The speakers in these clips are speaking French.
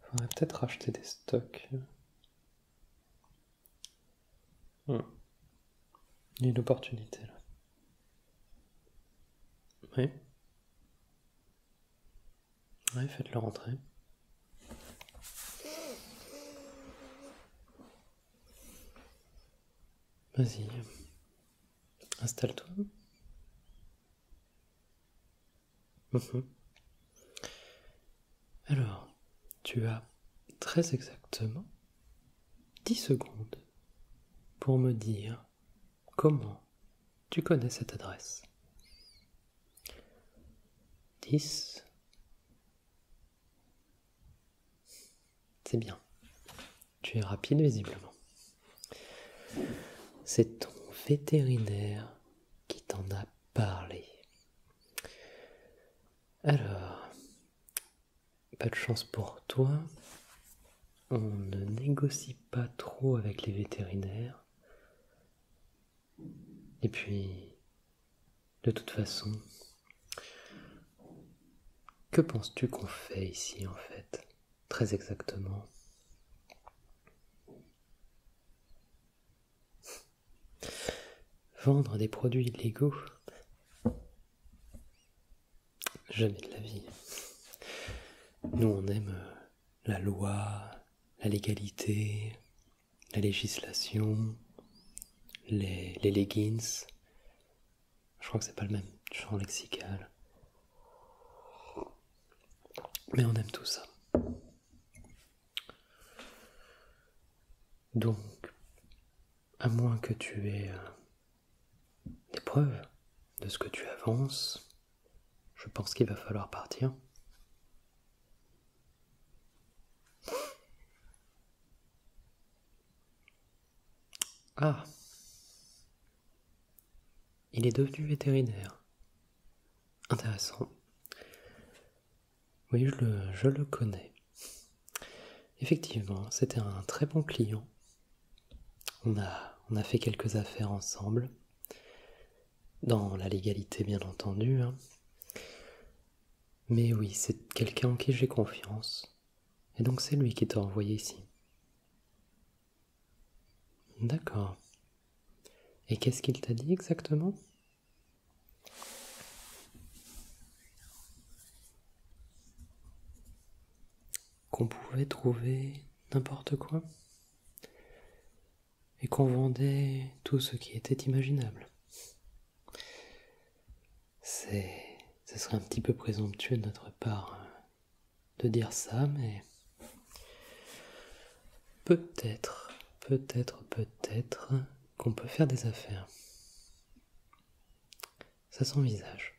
Faudrait peut-être racheter des stocks. Hmm. Il y a une opportunité là. Oui. Oui, faites-le rentrer. Vas-y. Installe-toi. Mhm. Alors, tu as très exactement 10 secondes pour me dire comment tu connais cette adresse. 10. C'est bien. Tu es rapide visiblement. C'est ton vétérinaire qui t'en a parlé. Alors, pas de chance pour toi. On ne négocie pas trop avec les vétérinaires. Et puis, de toute façon, que penses-tu qu'on fait ici en fait, très exactement Vendre des produits illégaux Jamais de la vie. Nous, on aime euh, la loi, la légalité, la législation, les, leggings. Je crois que c'est pas le même champ lexical. Mais on aime tout ça. Donc, à moins que tu aies euh, des preuves de ce que tu avances, je pense qu'il va falloir partir. Ah Il est devenu vétérinaire. Intéressant. Oui, je le, connais. Effectivement, c'était un très bon client. On a, fait quelques affaires ensemble, dans la légalité bien entendu. Hein. Mais oui, c'est quelqu'un en qui j'ai confiance. Et donc c'est lui qui t'a envoyé ici. D'accord. Et qu'est-ce qu'il t'a dit exactement qu'on pouvait trouver n'importe quoi et qu'on vendait tout ce qui était imaginable. C'est ce serait un petit peu présomptueux de notre part euh, de dire ça, mais Peut-être, peut-être, peut-être qu'on peut faire des affaires. Ça s'envisage.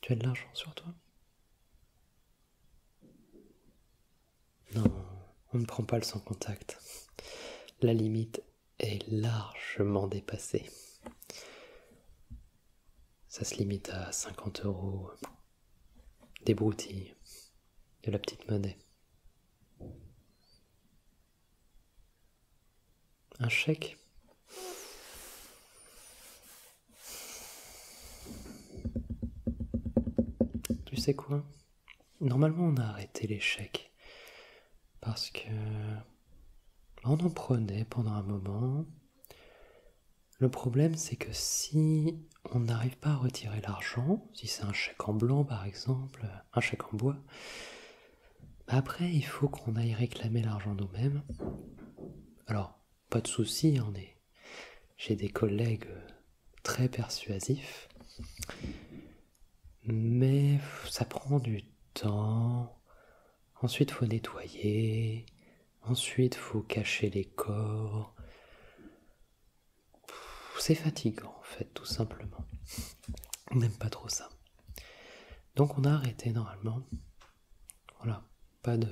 Tu as de l'argent sur toi Non, on ne prend pas le sans contact. La limite est largement dépassée. Ça se limite à 50 euros des broutilles, de la petite monnaie. Un chèque. Tu sais quoi Normalement on a arrêté les chèques parce que on en prenait pendant un moment. Le problème c'est que si on n'arrive pas à retirer l'argent, si c'est un chèque en blanc par exemple, un chèque en bois, après il faut qu'on aille réclamer l'argent nous-mêmes. Alors, pas de souci, hein, on est j'ai des collègues euh, très persuasifs, mais ça prend du temps. Ensuite, faut nettoyer. Ensuite, faut cacher les corps c'est fatigant en fait, tout simplement. On n'aime pas trop ça. Donc on a arrêté normalement. Voilà, pas de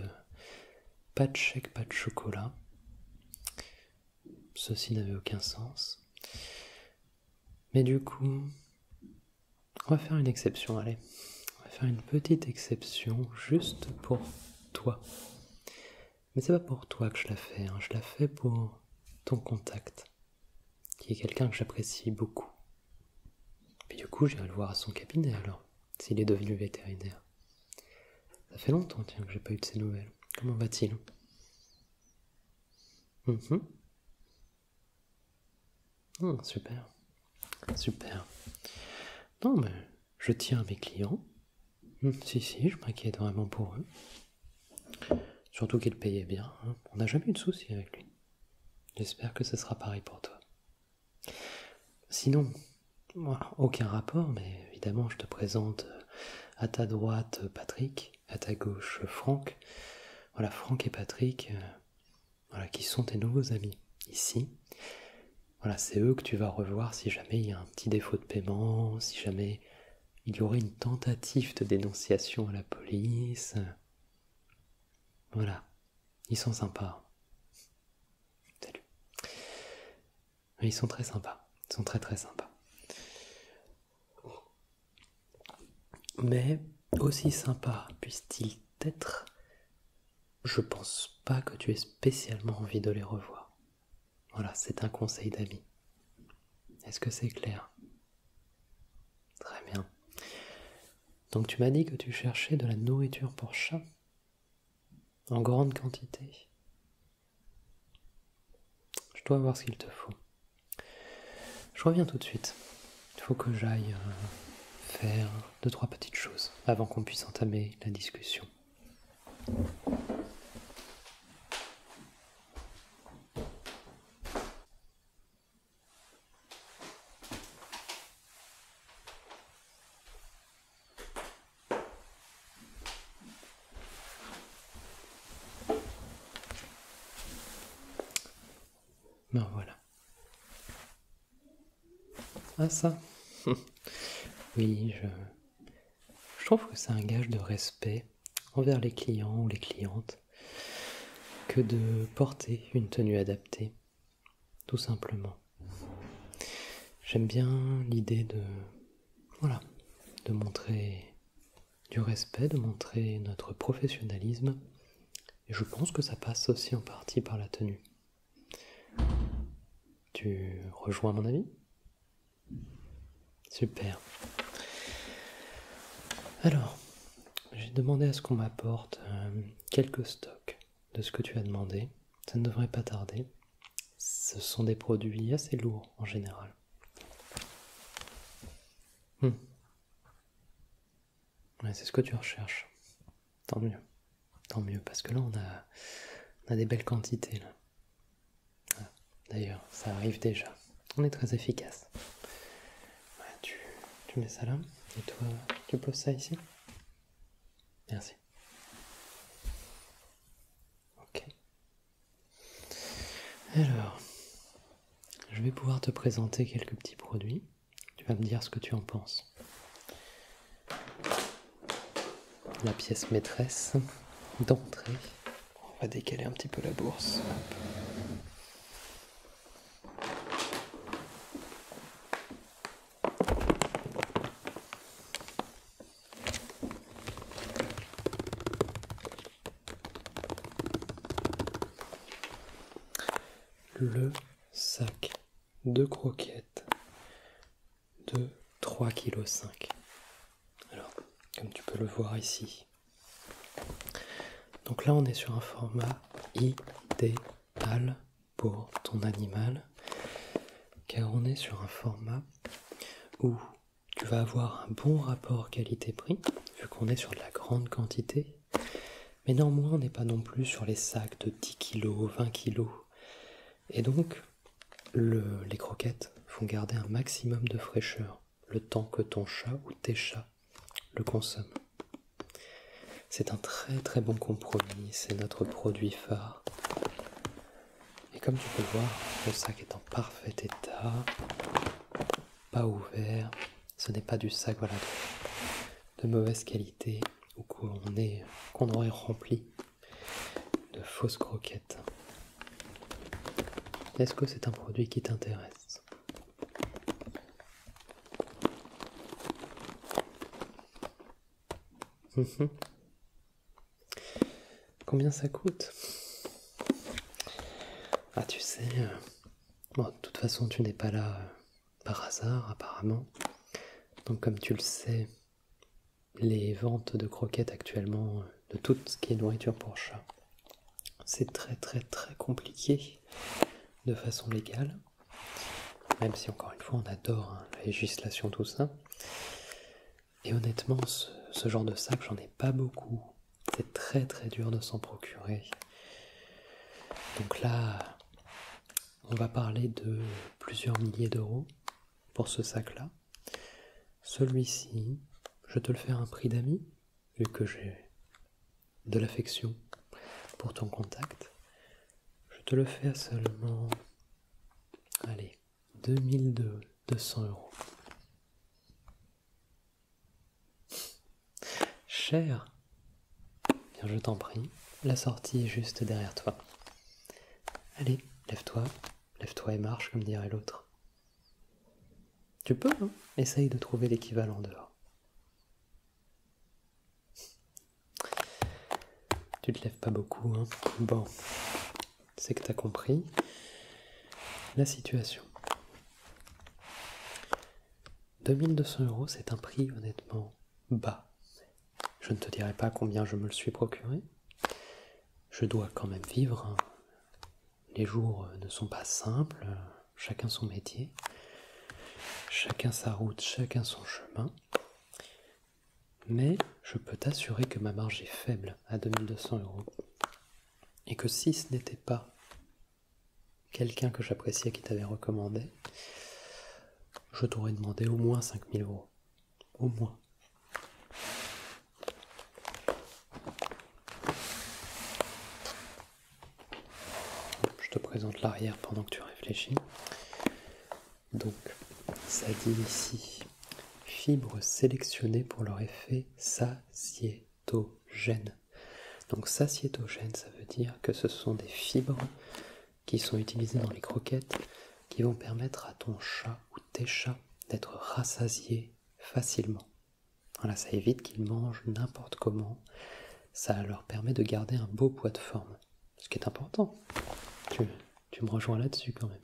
pas de chèque, pas de chocolat. Ceci n'avait aucun sens. Mais du coup, on va faire une exception, allez. On va faire une petite exception juste pour toi. Mais c'est pas pour toi que je la fais, hein. je la fais pour ton contact, qui est quelqu'un que j'apprécie beaucoup. Puis du coup, j'irai le voir à son cabinet alors, s'il est devenu vétérinaire. Ça fait longtemps, tiens, que j'ai pas eu de ces nouvelles. Comment va-t-il hum oh, Super. Super. Non, mais je tiens à mes clients. Hmm. si, si, je m'inquiète vraiment pour eux. Surtout qu'il payait bien. Hein. On n'a jamais eu de soucis avec lui. J'espère que ce sera pareil pour toi. Sinon, aucun rapport, mais évidemment, je te présente euh, à ta droite euh, Patrick, à ta gauche euh, Franck. Voilà, Franck et Patrick, voilà, qui sont tes nouveaux amis ici. Voilà, c'est eux que tu vas revoir si jamais jamais il y a un petit défaut de paiement, si jamais il y aurait une tentative de dénonciation à la police. Voilà, ils sont sympas. Salut. Ils sont très sympas. Ils sont très très sympas. Mais aussi sympa puissent-ils être, je pense pas que tu aies spécialement envie de les revoir. Voilà, c'est un conseil d'avis. Est-ce que c'est clair Très bien. Donc tu m'as dit que tu cherchais de la nourriture pour chat en grande quantité. Je dois voir ce qu'il te faut. Je reviens tout de suite. Il faut que j'aille euh, faire deux, trois petites choses avant qu'on puisse entamer la discussion. Ben voilà. Ah ça Oui, je, je trouve que c'est un gage de respect envers les clients ou les clientes que de porter une tenue adaptée, tout simplement. J'aime bien l'idée de voilà, de montrer du respect, de montrer notre professionnalisme et je pense que ça passe aussi en partie par la tenue. Tu rejoins mon avis Super. Alors, j'ai demandé à ce qu'on m'apporte euh, quelques stocks de ce que tu as demandé. Ça ne devrait pas tarder. Ce sont des produits assez lourds en général. Hmm. c'est ce que tu recherches. Tant mieux. Tant mieux, parce que là on a, a des belles quantités. Là. D'ailleurs, ça arrive déjà. On est très efficace. tu mets ça là, et toi, tu poses ça ici. Merci. Ok. Alors, je vais pouvoir te présenter quelques petits produits. Tu vas me dire ce que tu en penses la pièce maîtresse d'entrée. On va décaler un petit peu la bourse. Le sac de croquettes de 3,5 kg. Alors, comme tu peux le voir ici. Donc là, on est sur un format idéal pour ton animal, car on est sur un format où tu vas avoir un bon rapport qualité-prix, vu qu'on est sur de la grande quantité, mais néanmoins on n'est pas non plus sur les sacs de 10 kg, 20 kg. Et donc les croquettes font garder un maximum de fraîcheur le temps que ton chat ou tes chats le consomment. C'est un très très bon compromis, c'est notre produit phare. Et comme tu peux le voir, le sac est en parfait état, pas ouvert, ce n'est pas du sac voilà, de, mauvaise qualité ou qu'on aurait rempli de fausses croquettes. Est-ce que c'est un produit qui t'intéresse mhm. Combien ça coûte Ah tu sais, euh, bon, de toute façon tu n'es pas là euh, par hasard apparemment. Donc comme tu le sais, les ventes de croquettes actuellement euh, de tout ce qui est nourriture pour chat. C'est très très très compliqué de façon légale, même si encore une fois on adore hein, la législation, tout ça. Et honnêtement, ce genre de sac, j'en ai pas beaucoup. C'est très très dur de s'en procurer. Donc là, on va parler de plusieurs milliers d'euros pour ce sac-là. Celui-ci, je te le fais à un prix d'ami, vu que j'ai de l'affection pour ton contact. Je te le fais seulement, allez, 2200 euros. Cher je t'en prie, la sortie est juste derrière toi. Allez, lève-toi, Lève-toi et marche, comme dirait l'autre. Tu peux, hein Essaye de trouver l'équivalent dehors. Tu te lèves pas beaucoup, hein Bon, c'est que t'as compris la situation. 2200 euros, c'est un prix honnêtement bas. Je ne te dirai pas combien je me le suis procuré, je dois quand même vivre. Les jours ne sont pas simples, chacun son métier, chacun sa route, chacun son chemin. Mais je peux t'assurer que ma marge est faible à 2200 euros. Et que si ce n'était pas quelqu'un que j'appréciais qui t'avait recommandé, je t'aurais demandé au moins 5000 euros au moins. Je te présente l'arrière pendant que tu réfléchis. Donc, ça dit ici fibres sélectionnées pour leur effet satiétogène. Donc satiétogène, ça veut dire que ce sont des fibres qui sont utilisées dans les croquettes qui vont permettre à ton chat ou tes chats d'être rassasiés facilement. Voilà, ça évite qu'ils mangent n'importe comment. Ça leur permet de garder un beau poids de forme, ce qui est important. Tu, me rejoins là-dessus quand même.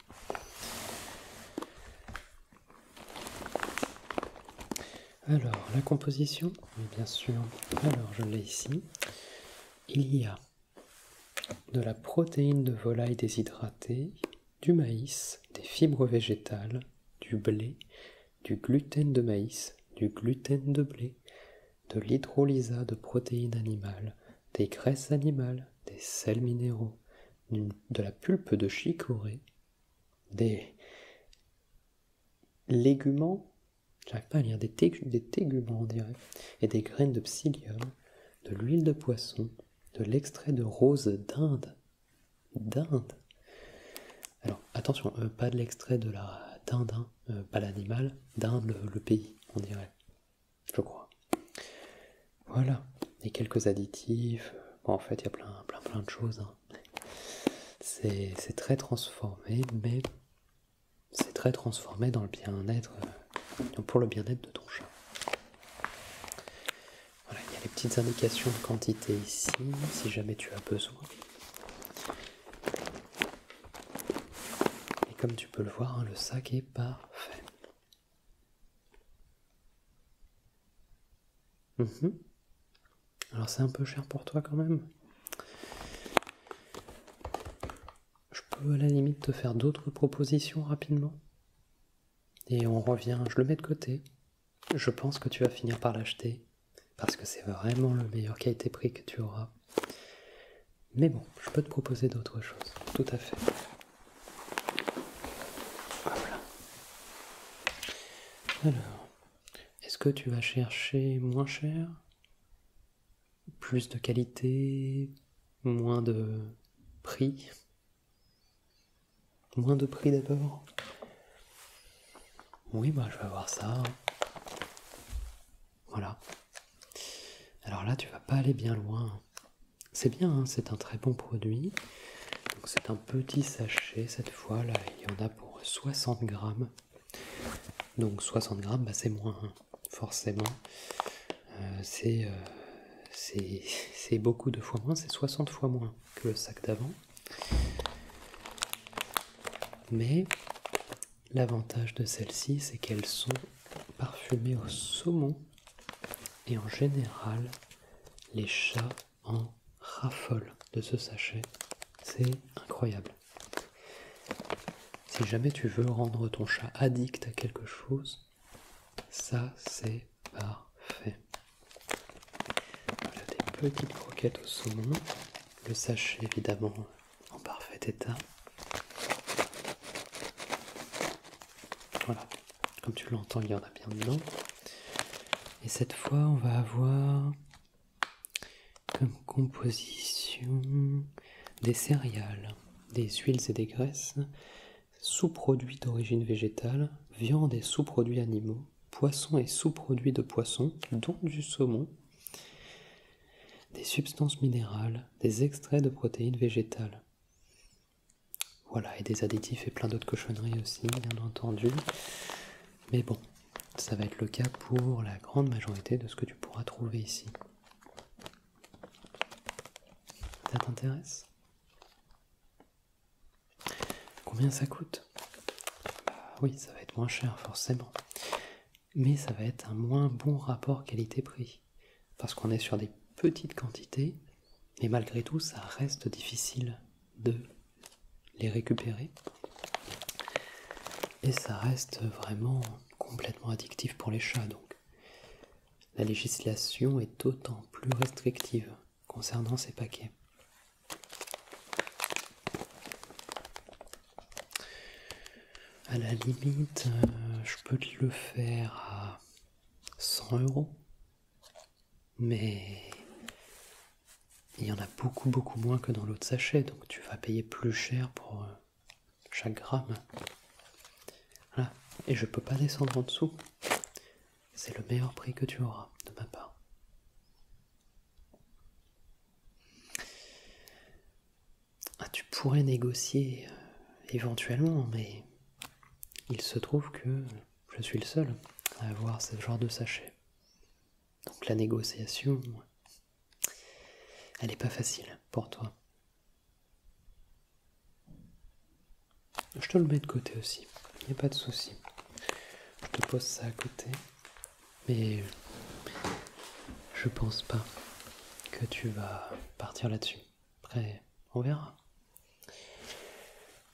Alors, la composition, bien sûr, alors je l'ai ici. Il y a de la protéine de volaille déshydratée, du maïs, des fibres végétales, du blé, du gluten de maïs, du gluten de blé, de l'hydrolysat de protéines animales, des graisses animales, des sels minéraux, de la pulpe de chicorée, des léguments, j'arrive pas à lire, des, des téguments on dirait, et des graines de psyllium, de l'huile de poisson, de l'extrait de rose d'Inde. D'Inde. Alors attention, euh, pas de l'extrait de la d'Inde, hein, euh, pas l'animal, d'Inde le, pays, on dirait. Je crois. Voilà. Et quelques additifs. en fait, il y a plein, plein, de choses. Hein. C'est très transformé, mais c'est très transformé dans le bien-être, euh, pour le bien-être de ton chat. Voilà, il y a les petites indications de quantité ici, si jamais tu as besoin. Et comme tu peux le voir, hein, le sac est parfait. Mhm. Alors c'est un peu cher pour toi quand même. Je peux à la limite te faire d'autres propositions rapidement. Et on revient, je le mets de côté. Je pense que tu vas finir par l'acheter, parce que c'est vraiment le meilleur qualité-prix que tu auras. Mais bon, je peux te proposer d'autres choses, tout à fait. Voilà. Alors, est-ce que tu vas chercher moins cher Plus de qualité moins de prix. Moins de prix d'abord. Oui, bah je vais voir ça. Voilà. Alors là, tu vas pas aller bien loin. C'est bien, hein, c'est un très bon produit. C'est un petit sachet cette fois, là il y en a pour 60 grammes. Donc 60 grammes, bah, c'est moins hein forcément, euh, euh, c'est beaucoup de fois moins, c'est 60 fois moins que le sac d'avant. Mais l'avantage de celles-ci, c'est qu'elles sont parfumées au saumon et en général, les chats en raffolent de ce sachet. C'est incroyable. Si jamais tu veux rendre ton chat addict à quelque chose, ça, c'est parfait. Voilà des petites croquettes au saumon. Le sachet, évidemment, en parfait état. Voilà, comme tu l'entends, il y en a bien dedans. Et cette fois, on va avoir comme composition des céréales, des huiles et des graisses, sous-produits d'origine végétale, viande et sous-produits animaux, poissons et sous-produits de poissons, dont du saumon, des substances minérales, des extraits de protéines végétales. Voilà, et des additifs et plein d'autres cochonneries aussi, bien entendu. Mais bon, ça va être le cas pour la grande majorité de ce que tu pourras trouver ici. Ça t'intéresse Combien ça coûte bah Oui, ça va être moins cher forcément. Mais ça va être un moins bon rapport qualité-prix. Parce qu'on est sur des petites quantités, et malgré tout, ça reste difficile de les récupérer. Et ça reste vraiment complètement addictif pour les chats. Donc la législation est d'autant plus restrictive concernant ces paquets. À la limite, euh, je peux te le faire à 100 euros, mais il y en a beaucoup beaucoup moins que dans l'autre sachet, donc tu vas payer plus cher pour euh, chaque gramme. Voilà. Et je peux pas descendre en dessous. C'est le meilleur prix que tu auras de ma part. Ah, tu pourrais négocier euh, éventuellement, mais il se trouve que je suis le seul à avoir ce genre de sachet. Donc la négociation, elle n'est pas facile pour toi. Je te le mets de côté aussi, il n'y a pas de souci. Je te pose ça à côté, mais je ne pense pas que tu vas partir là-dessus. Après, on verra.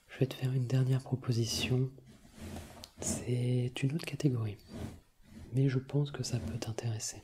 Je vais te faire une dernière proposition. C'est une autre catégorie, mais je pense que ça peut t'intéresser.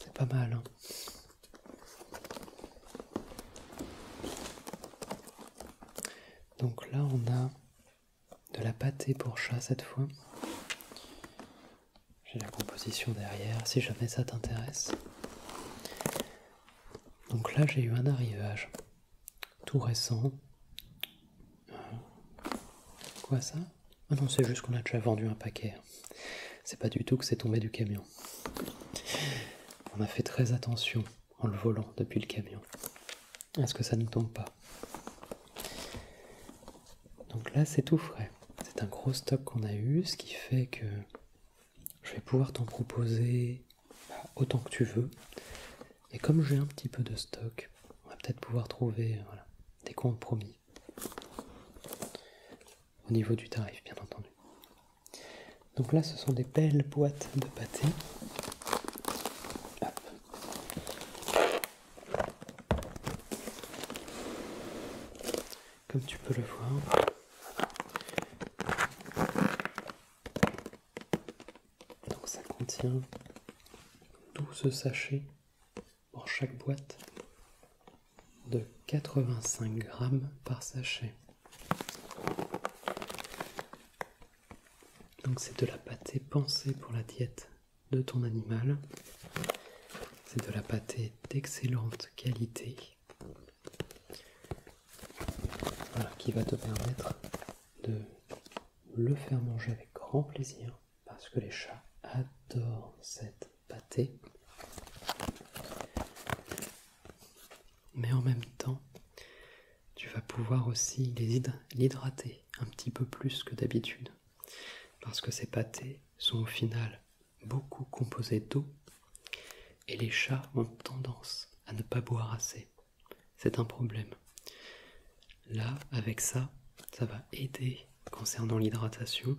C'est pas mal. Hein. Donc là, on a de la pâtée pour chat cette fois. J'ai la composition derrière si jamais ça t'intéresse. Donc là, j'ai eu un arrivage tout récent. Euh, quoi ça ah non, c'est juste qu'on a déjà vendu un paquet. C'est pas du tout que c'est tombé du camion. On a fait très attention en le volant depuis le camion. Est-ce que ça ne tombe pas Donc là, c'est tout frais. C'est un gros stock qu'on a eu, ce qui fait que je vais pouvoir t'en proposer bah, autant que tu veux. Et comme j'ai un petit peu de stock, on va peut-être pouvoir trouver des compromis. Au niveau du tarif, bien entendu. Donc là, ce sont des belles boîtes de pâté. Comme tu peux le voir. Donc ça contient 12 sachets pour chaque boîte de 85 grammes par sachet. Donc c'est de la pâté pensée pour la diète de ton animal. C'est de la pâté d'excellente qualité qui va te permettre de le faire manger avec grand plaisir parce que les chats adorent cette pâtée. Mais en même temps, tu vas pouvoir aussi l'hydrater un petit peu plus que d'habitude, parce que ces pâtés sont au final beaucoup composés d'eau, et les chats ont tendance à ne pas boire assez. C'est un problème. Là, avec ça, ça va aider concernant l'hydratation.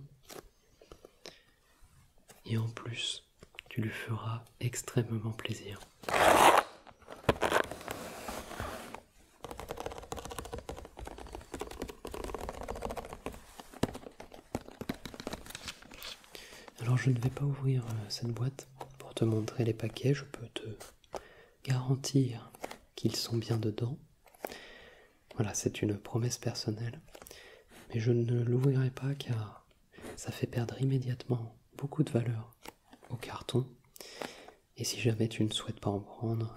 Et en plus, tu lui feras extrêmement plaisir. Alors je ne vais pas ouvrir euh, cette boîte pour te montrer les paquets, je peux te garantir qu'ils sont bien dedans. Voilà, c'est une promesse personnelle. Mais je ne l'ouvrirai pas car ça fait perdre immédiatement beaucoup de valeur au carton. Et si jamais tu ne souhaites pas en prendre,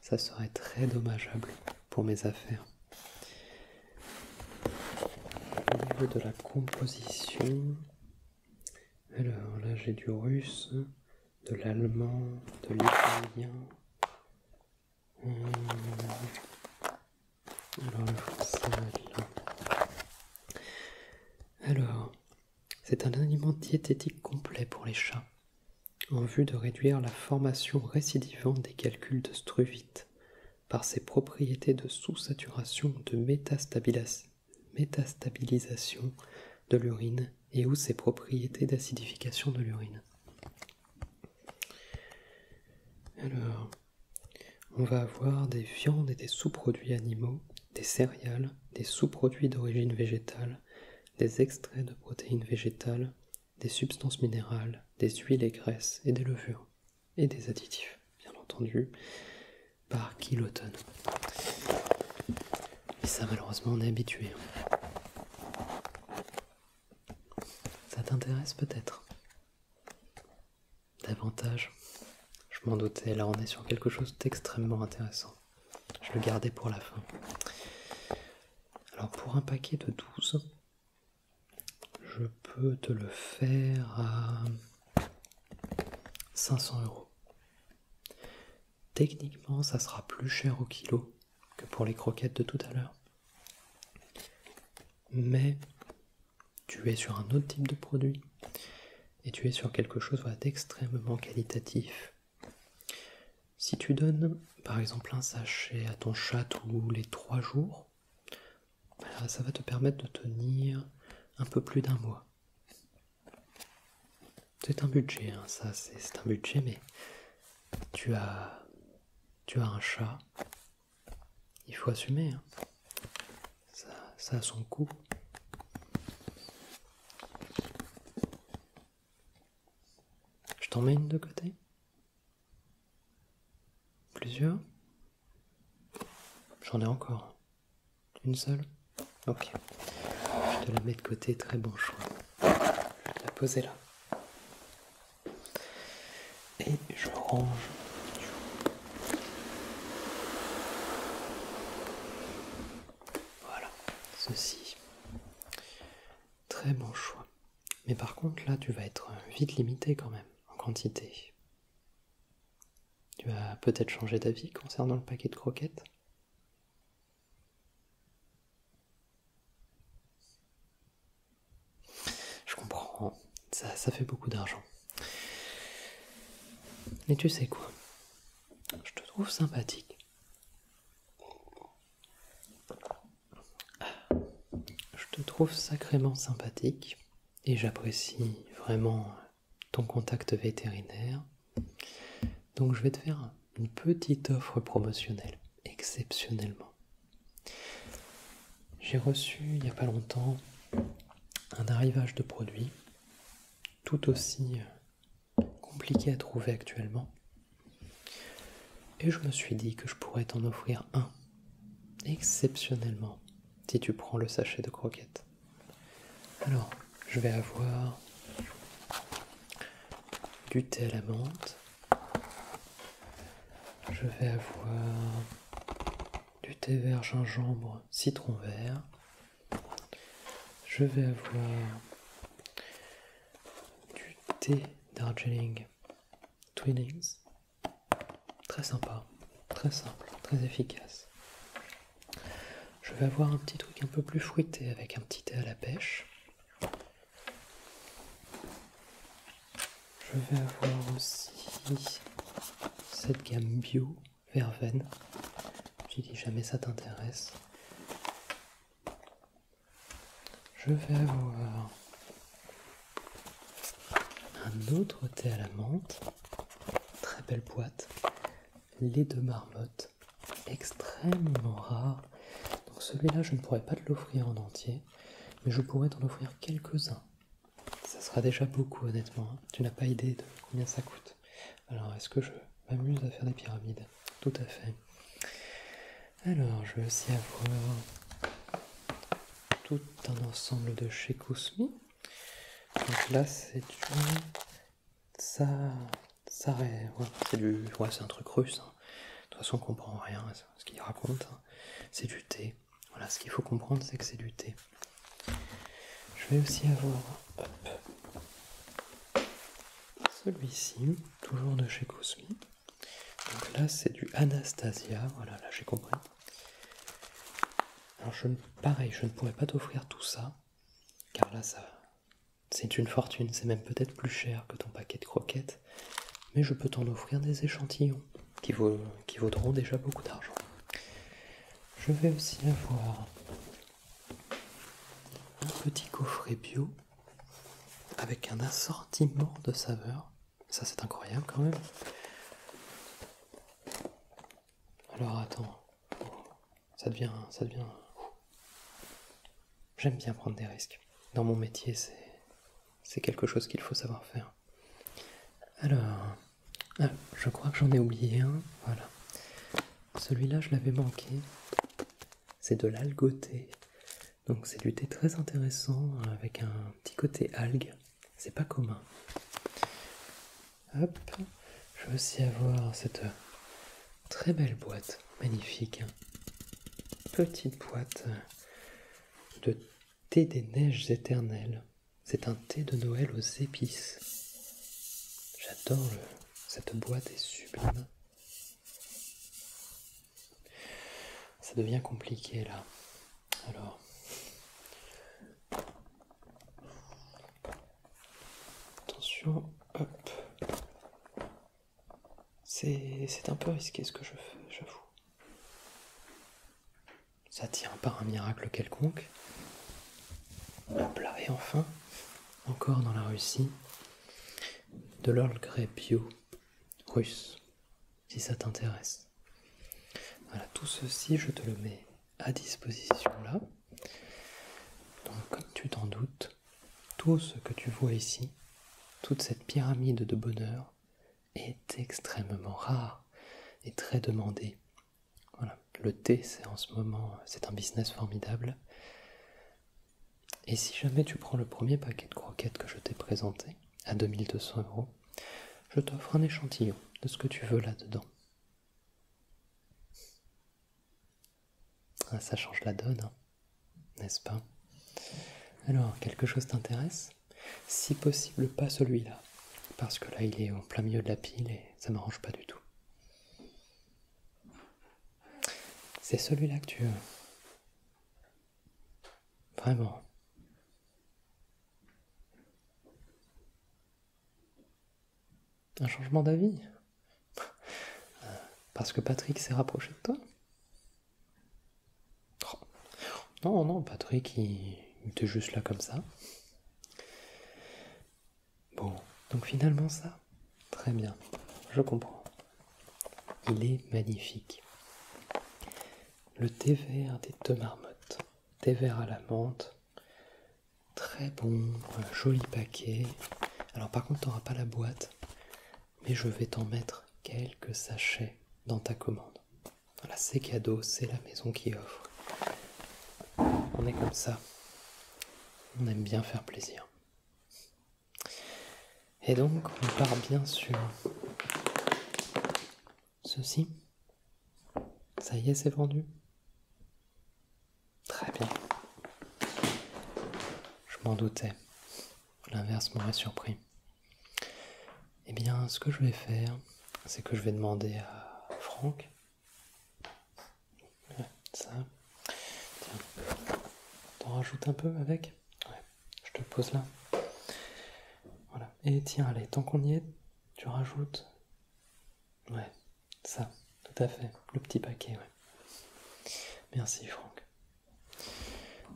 ça serait très dommageable pour mes affaires. Au niveau de la composition, alors là j'ai du russe, de l'allemand, de l'italien. Euh, alors c'est un aliment diététique complet pour les chats, en vue de réduire la formation récidivante des calculs de struvite par ses propriétés de sous-saturation de métastabilisation de l'urine et où ses propriétés d'acidification de l'urine. Alors, on va avoir des viandes et des sous-produits animaux, des céréales, des sous-produits d'origine végétale, des extraits de protéines végétales, des substances minérales, des huiles et graisses et des levures, et des additifs, bien entendu, par kilotonne. Et ça, malheureusement, on est habitué. Ça t'intéresse peut-être Davantage. Je m'en doutais, là on est sur quelque chose d'extrêmement intéressant. Je le gardais pour la fin. Alors pour un paquet de 12, je peux te le faire à 500 euros techniquement, ça sera plus cher au kilo que pour les croquettes de tout à l'heure. Mais tu es sur un autre type de produit et tu es sur quelque chose d'extrêmement qualitatif. Si tu donnes par exemple un sachet à ton chat tous les trois jours, bah, ça va te permettre de tenir un peu plus d'un mois c'est un budget, hein, ça c'est un budget, mais tu as, tu as un chat, il faut assumer, hein. ça, ça a son coût. Je t'en mets une de côté Plusieurs J'en ai encore. Une seule Ok. Je te la mets de côté, très bon choix. Je la poser là. Et je range. Voilà, ceci. Très bon choix. Mais par contre, là, tu vas être vite limité quand même en quantité. Tu vas peut-être changer d'avis concernant le paquet de croquettes je comprends, ça, fait beaucoup d'argent. Mais tu sais quoi Je te trouve sympathique. Je te trouve sacrément sympathique et j'apprécie vraiment ton contact vétérinaire donc je vais te faire une petite offre promotionnelle, exceptionnellement. J'ai reçu il n'y a pas longtemps un arrivage de produits tout aussi euh, compliqué à trouver actuellement. Et je me suis dit que je pourrais t'en offrir un, exceptionnellement, si tu prends le sachet de croquettes. Alors, je vais avoir du thé à la menthe. Je vais avoir du thé vert gingembre citron vert. Je vais avoir du thé Darjeeling Twinings. Très sympa, très simple, très efficace. Je vais avoir un petit truc un peu plus fruité avec un petit thé à la pêche. Je vais avoir aussi cette gamme bio verveine. Je dis jamais ça t'intéresse. Je vais avoir un autre thé à la menthe, très belle boîte, les deux marmottes extrêmement rare. Donc celui-là, je ne pourrais pas te l'offrir en entier, mais je pourrais t'en offrir quelques-uns. Ça sera déjà beaucoup, honnêtement. Hein. Tu n'as pas idée de combien ça coûte. Alors, est-ce que je m'amuse à faire des pyramides Tout à fait. Alors, je vais aussi avoir tout un ensemble de chez Kousmi. Donc là, c'est une ça, ça, c'est du, un truc russe. Hein. De toute façon, on comprend rien à ce qu'il raconte. Hein. C'est du thé. Voilà, ce qu'il faut comprendre, c'est que c'est du thé. Je vais aussi avoir celui-ci, toujours de chez Cosmi. Donc là, c'est du Anastasia. Voilà, là j'ai compris. Alors, je, pareil, je ne pourrais pas t'offrir tout ça, car là, ça, c'est une fortune, c'est même peut-être plus cher que ton paquet de croquettes, mais je peux t'en offrir des échantillons qui, vaudront déjà beaucoup d'argent. Je vais aussi avoir un petit coffret bio avec un assortiment de saveurs. Ça c'est incroyable quand même. Alors attends, ça devient. Ça devient... J'aime bien prendre des risques. Dans mon métier, c'est quelque chose qu'il faut savoir faire. Alors, ah, je crois que j'en ai oublié un. Voilà. Celui-là, je l'avais manqué. C'est de l'algoté. Donc c'est du thé très intéressant avec un petit côté algue. C'est pas commun. Hop, je veux aussi avoir cette Très belle boîte, magnifique. Petite boîte de thé des neiges éternelles. C'est un thé de Noël aux épices. J'adore cette boîte est sublime. Ça devient compliqué là. Alors. Attention, hop. C'est un peu risqué ce que je fais, j'avoue. Ça tient par un miracle quelconque. et enfin, encore dans la Russie, de l'or russe, si ça t'intéresse. Voilà, tout ceci, je te le mets à disposition là. Donc, comme tu t'en doutes, tout ce que tu vois ici, toute cette pyramide de bonheur, est extrêmement rare et très demandé. Le thé, c'est en ce moment, c'est un business formidable. Et si jamais tu prends le premier paquet de croquettes que je t'ai présenté, à 2200 euros, je t'offre un échantillon de ce que tu veux là-dedans. Ah, ça change la donne, hein, n'est-ce pas Alors, quelque chose t'intéresse Si possible, pas celui-là, parce que là, il est en plein milieu de la pile et ça ne m'arrange pas du tout. C'est celui-là que tu veux. Vraiment. Un changement d'avis euh, parce que Patrick s'est rapproché de toi oh. Non, non, Patrick, il, était juste là comme ça. Bon, donc finalement ça, très bien, je comprends. Il est magnifique. Le thé vert des deux marmottes, thé vert à la menthe, très bon, joli paquet. Alors par contre, t'auras pas la boîte, mais je vais t'en mettre quelques sachets dans ta commande. Voilà, c'est cadeau, c'est la maison qui offre. On est comme ça. On aime bien faire plaisir. Et donc, on part bien sur ceci. Ça y est, c'est vendu. Très bien. Je m'en doutais. L'inverse m'aurait surpris. Eh bien, ce que je vais faire, c'est que je vais demander à Franck. ça. Tiens. T'en rajoutes un peu avec je te pose là. Voilà. Et tiens, allez, tant qu'on y est, tu rajoutes. Ouais, ça tout à fait, le petit paquet, oui. Merci Franck.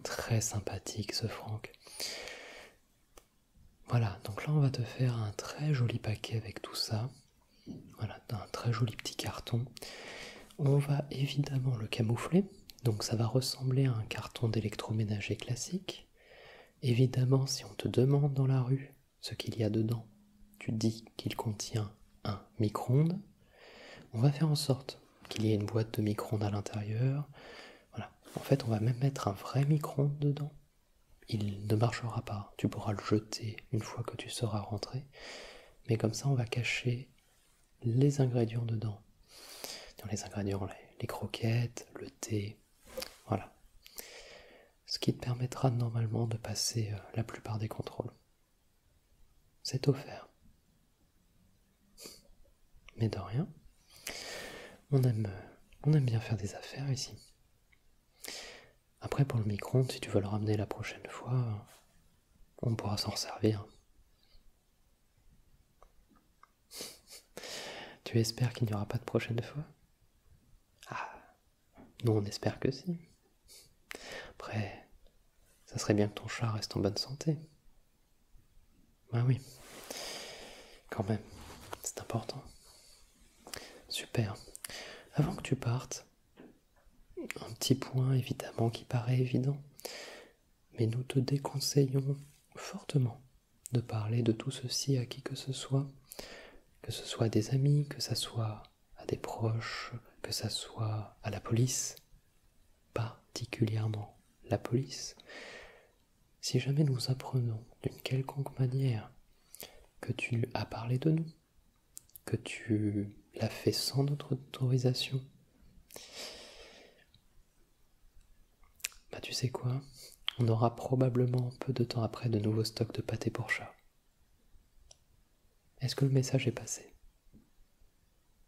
Très sympathique ce Franck. Voilà, donc là on va te faire un très joli paquet avec tout ça. Voilà, un très joli petit carton. On va évidemment le camoufler, donc ça va ressembler à un carton d'électroménager classique. Évidemment, si on te demande dans la rue ce qu'il y a dedans, tu dis qu'il contient un micro-ondes, on va faire en sorte qu'il y ait une boîte de micro-ondes à l'intérieur. En fait, on va même mettre un vrai micro-ondes dedans. Il ne marchera pas. Tu pourras le jeter une fois que tu seras rentré. Mais comme ça, on va cacher les ingrédients dedans. Dans les ingrédients, les croquettes, le thé. Voilà. Ce qui te permettra normalement de passer euh, la plupart des contrôles. C'est offert. Mais de rien. On aime, bien faire des affaires ici. Après, pour le micro si tu veux le ramener la prochaine fois, on pourra s'en servir. tu espères qu'il n'y aura pas de prochaine fois Ah, nous on espère que si. Après, ça serait bien que ton chat reste en bonne santé. Ben oui. Quand même, c'est important. Super. Avant que tu partes, un petit point évidemment qui paraît évident, mais nous te déconseillons fortement de parler de tout ceci à qui que ce soit, que ce soit des amis, que ce soit à des proches, que ça soit à la police, particulièrement la police, si jamais nous apprenons d'une quelconque manière que tu as parlé de nous, que tu l'as fait sans notre autorisation, bah tu sais quoi, on aura probablement peu de temps après de nouveaux stocks de pâté pour chat. Est-ce que le message est passé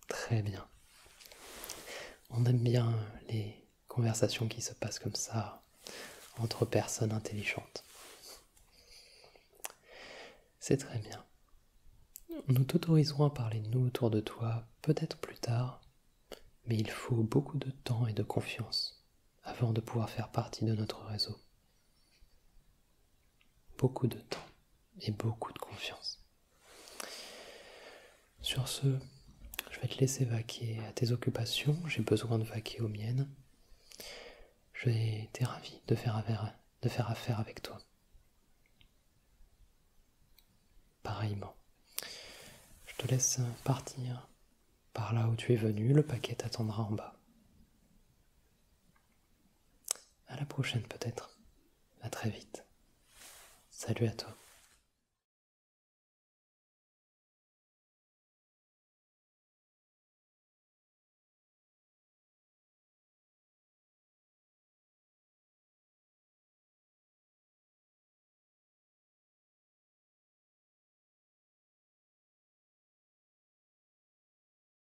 Très bien. On aime bien les conversations qui se passent comme ça entre personnes intelligentes. C'est très bien. Nous t'autoriserons à parler de nous autour de toi, peut-être plus tard, mais il faut beaucoup de temps et de confiance avant de pouvoir faire partie de notre réseau beaucoup de temps et beaucoup de confiance. Sur ce, je vais te laisser vaquer à tes occupations, j'ai besoin de vaquer aux miennes. J'ai été ravi de faire, affaire, de faire affaire avec toi. Pareillement. Je te laisse partir par là où tu es venu, le paquet t'attendra en bas. À la prochaine peut-être. À très vite. Salut à toi.